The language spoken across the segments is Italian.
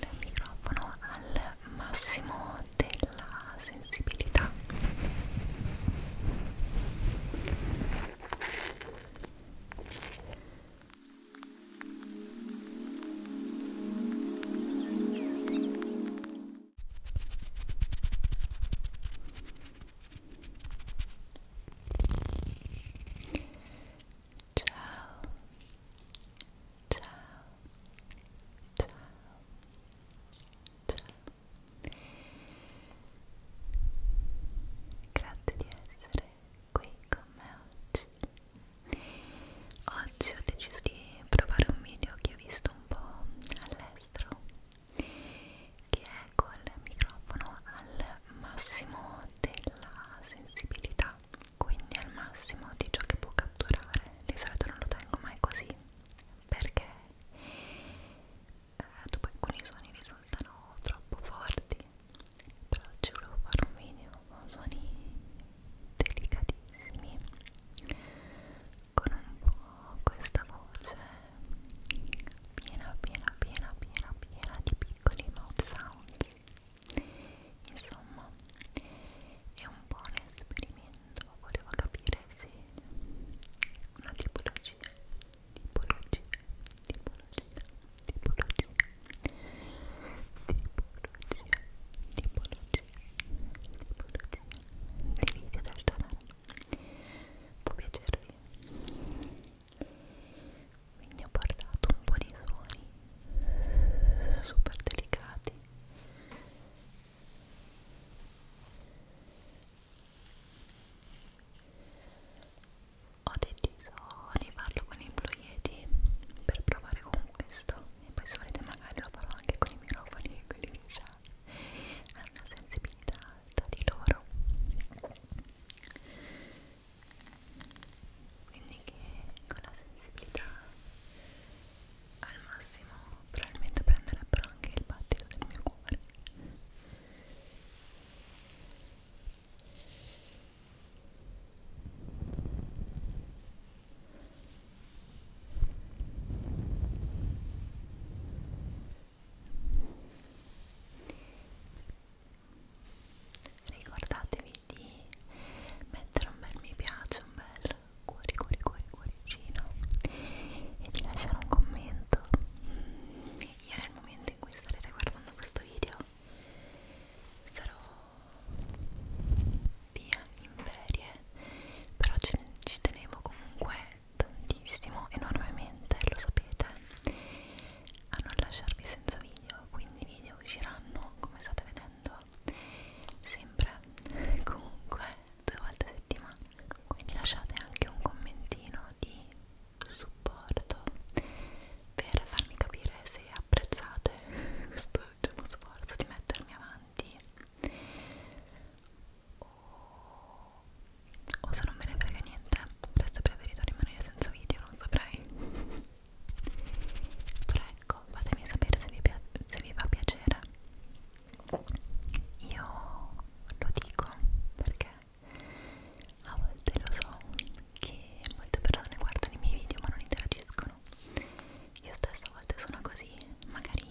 il microfono al massimo della sensibilità ciao ciao ciao ciao grazie di essere qui con me oggi oggi ho deciso di provare un video che ho visto un po' all'estero che è col microfono al massimo della sensibilità quindi al massimo di ciò che può catturare di solito non lo tengo mai così perché eh, dopo alcuni suoni risultano troppo forti però ci volevo fare un video con suoni delicatissimi con un po' questa voce piena piena piena piena piena di piccoli mouth sound insomma è un po' un esperimento volevo capire se una tipologia tipologia tipologia tipologia tipologia tipologia tipologia di video del canale può piacervi quindi ho portato un po' di suoni super delicati ho deciso di farlo con i Blue Yeti per provare con questo e poi se volete magari lo farò anche con i microfoni e quelli che già hanno una sensibilità alta di loro quindi che con la sensibilità al massimo probabilmente prenderebbero anche il battito del mio cuore ricordatevi di mettere un bel mi piace, un bel cuori cuori cuori cuoricino e di lasciare un commento io nel momento in cui starete guardando questo video sarò via in ferie però ce ne, ci tenevo comunque tantissimo enormemente lo sapete a non lasciarvi senza video quindi video usciranno come state vedendo sempre comunque due volte a settimana quindi lasciate anche un commentino di supporto per farmi capire se apprezzate questo ultimo sforzo di mettermi avanti o, o se non me ne frega niente, potreste preferito rimanere senza video, non saprei però ecco fatemi sapere se vi, se vi va a piacere io lo dico perché a volte lo so che molte persone guardano i miei video ma non interagiscono io stessa a volte sono così magari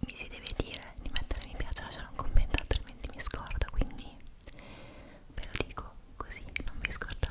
mi si deve dire di mettere mi piace lasciare un commento altrimenti mi scordo quindi ve lo dico video così non vi scordate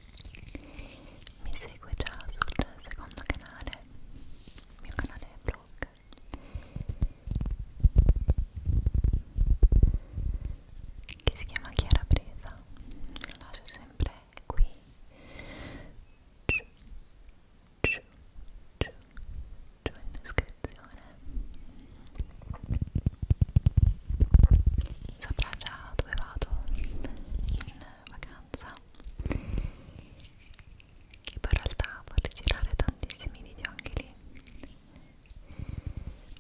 mi segue già sul secondo canale il mio canale vlog che si chiama Chiara Presa lo lascio sempre qui giù, giù, giù, giù in descrizione saprà già dove vado in vacanza che poi in realtà vorrei girare tantissimi video anche lì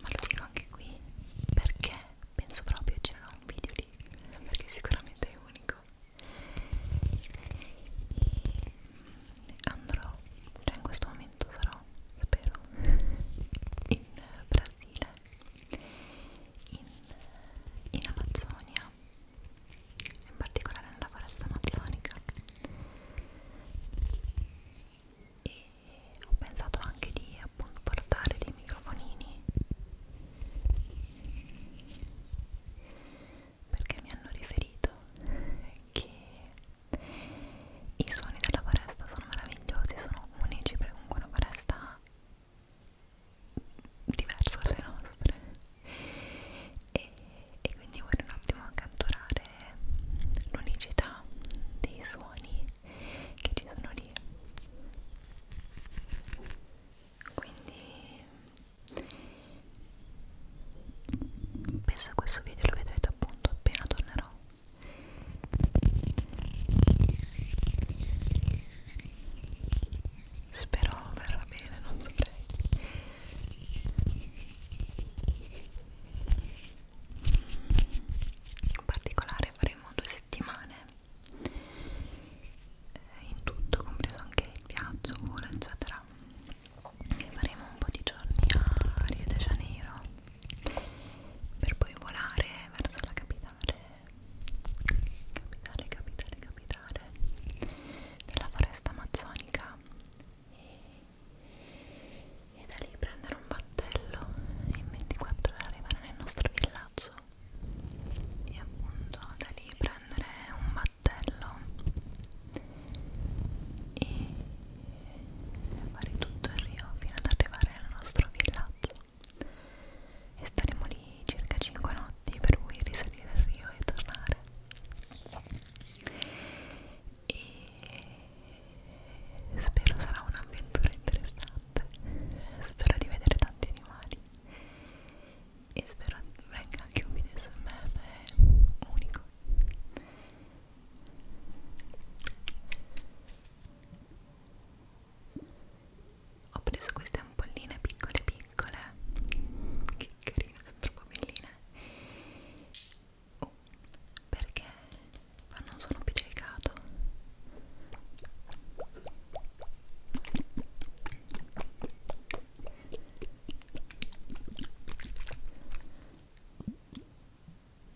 ma lo dico anche qui perché penso proprio c'era un video lì perché sicuramente è unico e andrò cioè in questo momento sarò spero in Brasile in, in Amazzonia, in particolare nella foresta amazzonica e ho pensato anche di appunto portare dei microfonini perché mi hanno riferito che i suoni della foresta sono meravigliosi, sono unici perché comunque una foresta diverso dalle nostre e, e quindi vuole un attimo accantonare l'unicità dei suoni che ci sono lì quindi penso a questo video lo vedrete appunto appena tornerò Spero verrà bene, non dovrei. In particolare faremo due settimane eh, in tutto, compreso anche il viaggio, volo, eccetera. E faremo un po' di giorni a Rio de Janeiro per poi volare verso la capitale capitale, capitale, capitale della foresta amazzonica e, e da lì prendere un battello e in 24 ore arrivare nel nostro villaggio e appunto da lì prendere un battello e fare tutto il rio fino ad arrivare al nostro villaggio e staremo lì circa 5 notti per poi risalire al Rio e tornare e spero sarà un'avventura interessante spero di vedere tanti animali e spero venga anche un video smr unico ho preso queste ampolline piccole piccole che carine, sono troppo belline oh, perché fanno un suono pigliato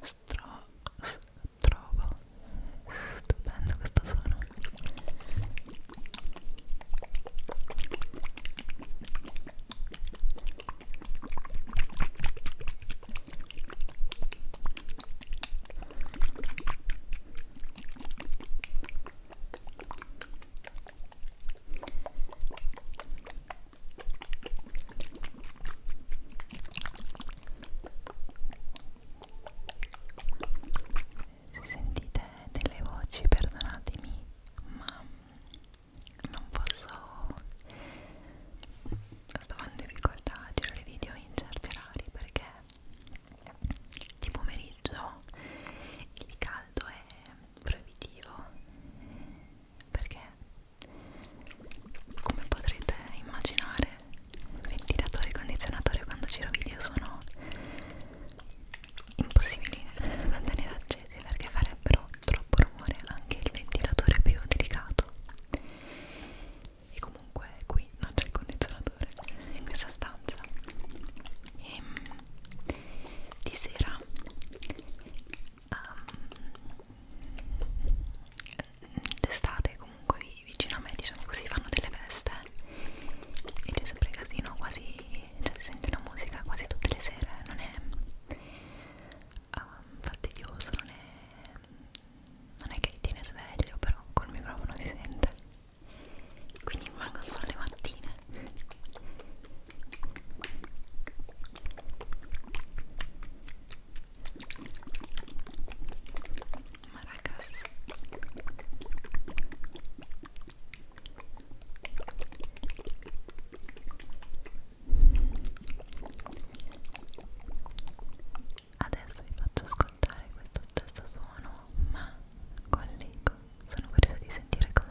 Stro trovo stupendo questo suono se sentite delle voci perdonatemi ma non posso sto in difficoltà a girare video in certi orari perché di pomeriggio il caldo è proibitivo perché come potrete immaginare ventilatore e condizionatore quando giro video sono impossibili da tenere accesi perché farebbero troppo rumore anche il ventilatore più delicato e comunque qui qui non c'è il condizionatore in questa stanza e ehm, di sera um, d'estate comunque vicino a me diciamo così fanno delle feste e c'è sempre casino quasi cioè si sente la musica quasi tutte le sere non è um, fastidioso non è non è che ti tiene sveglio però col microfono si sente quindi rimango solo le mattine ma ragazzi adesso vi faccio ascoltare questo stesso suono ma collego. Sono curiosa di sentire com'è.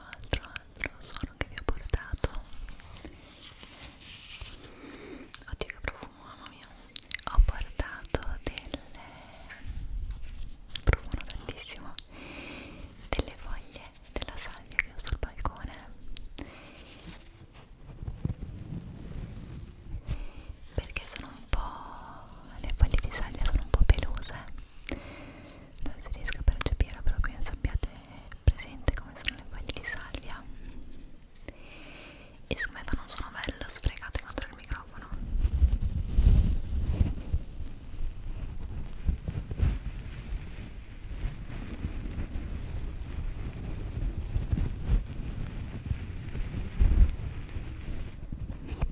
altro, altro, altro suono che vi ho portato oddio che profumo, mamma mia ho portato delle profumo tantissimo delle foglie della salvia che ho sul balcone perché sono un po' le foglie di salvia sono un po' pelose non si riesca a percepire però penso abbiate presente come sono le foglie di salvia e secondo me non sono bello sfregate contro il microfono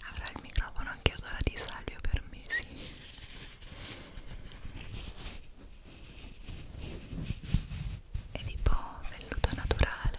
Avrà il microfono anche ad ora di salvio per mesi. È tipo velluto naturale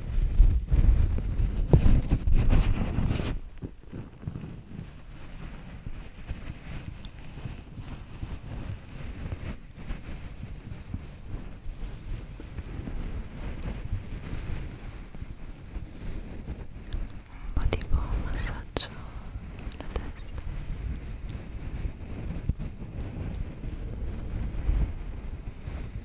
un po' tipo un massaggio nella testa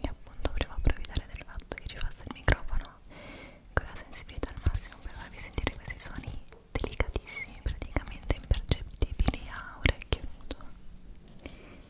e appunto volevo approfittare del fatto che ci fosse il microfono con la sensibilità al massimo per farvi sentire questi suoni delicatissimi praticamente impercettibili a orecchio nudo Ecco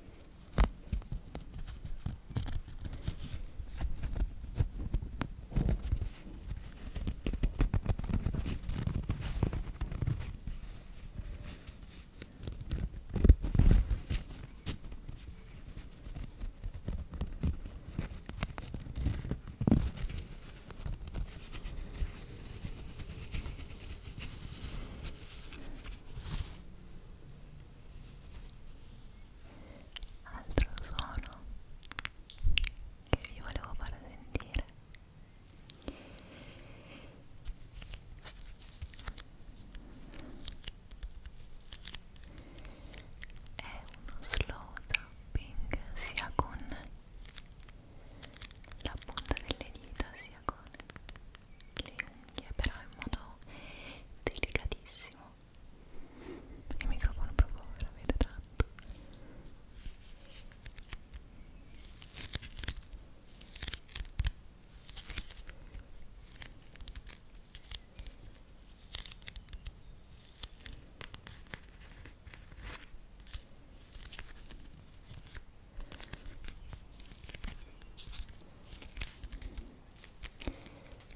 Altro suono che vi volevo far sentire è uno slow tapping sia con la punta delle dita sia con le unghie però in modo delicatissimo il microfono proprio veramente tanto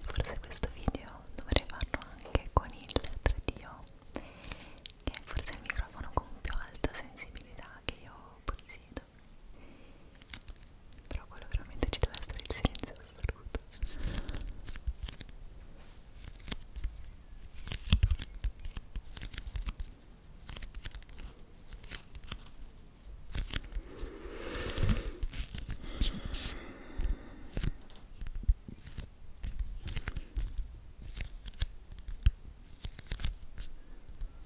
Forse questo video dovrei farlo anche con il 3DO, che è forse il microfono con più alta sensibilità che io possiedo assoluto però quello veramente ci deve essere il silenzio assoluto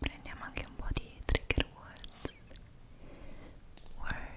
Prendiamo anche un po' di trigger words. words.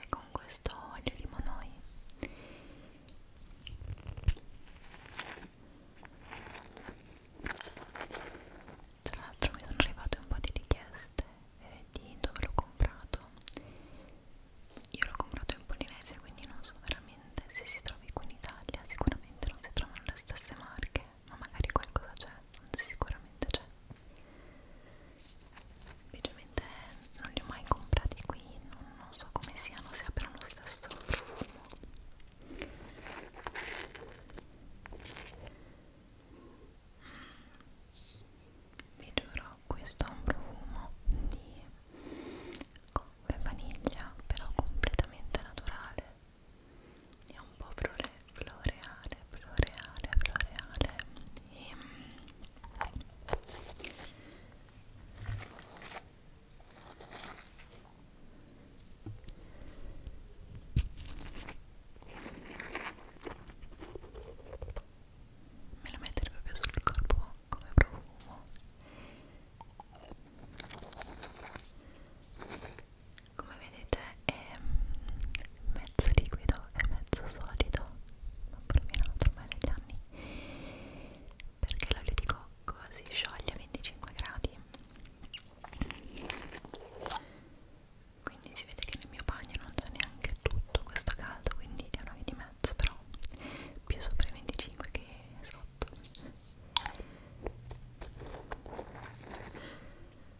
e con questo olio limonoi tra l'altro mi sono arrivate un po' di richieste eh, di dove l'ho comprato io l'ho comprato in Polinesia quindi non so veramente se si trovi qui in Italia sicuramente non si trovano le stesse marche ma magari qualcosa c'è, sicuramente c'è semplicemente non li ho mai comprati qui non, non so come siano se abbiano lo stesso profumo mm. vi giuro questo è un profumo di coppe vaniglia però completamente naturale è un po' prole floreale, floreale, floreale e ehm, me lo mettere proprio sul corpo come profumo come vedete è mm, mezzo liquido e mezzo solido ma provenato ormai dagli anni perché l'olio di cocco si scioglie a 25 gradi quindi si vede che nel mio bagno non c'è neanche tutto questo caldo quindi è una via di mezzo però più sopra i 25 che sotto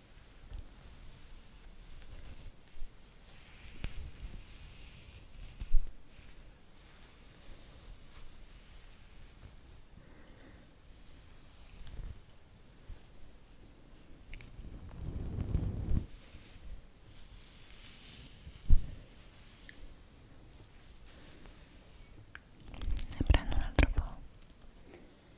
ne prendo un altro po'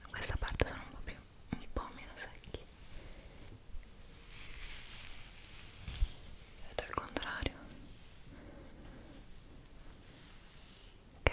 da questa parte sono un po' più un po' meno secchi vedo il contrario ok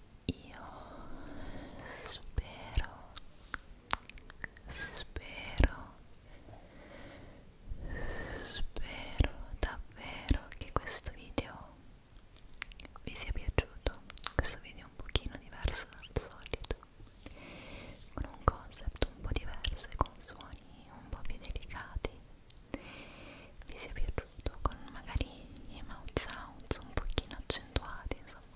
io spero spero spero davvero che questo video vi sia piaciuto questo video è un pochino diverso dal solito con un concept un po' diverso e con suoni un po' più delicati vi sia piaciuto con magari i mouth sounds un pochino accentuati insomma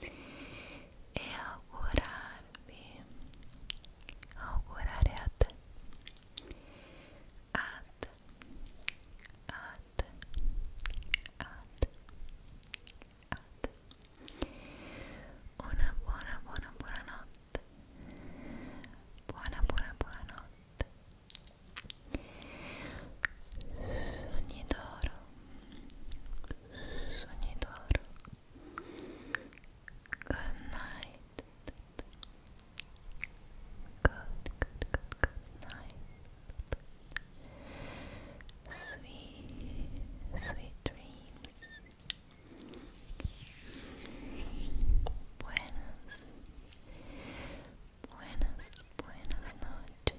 e augurarvi, augurare a te, a te, a te, a te, a te, una buona, buona, buona notte, buona, buona, buona notte, sogni d'oro, sogni d'oro Good night. Good, good, good, good night. Sweet, sweet dreams. Buenas, buenas, buenas noches.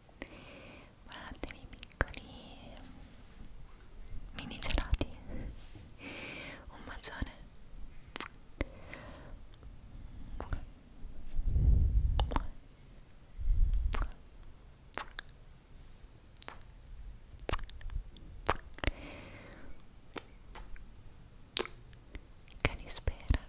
Guardate i miei piccoli eh, mini gelati. Un bacione. Calispera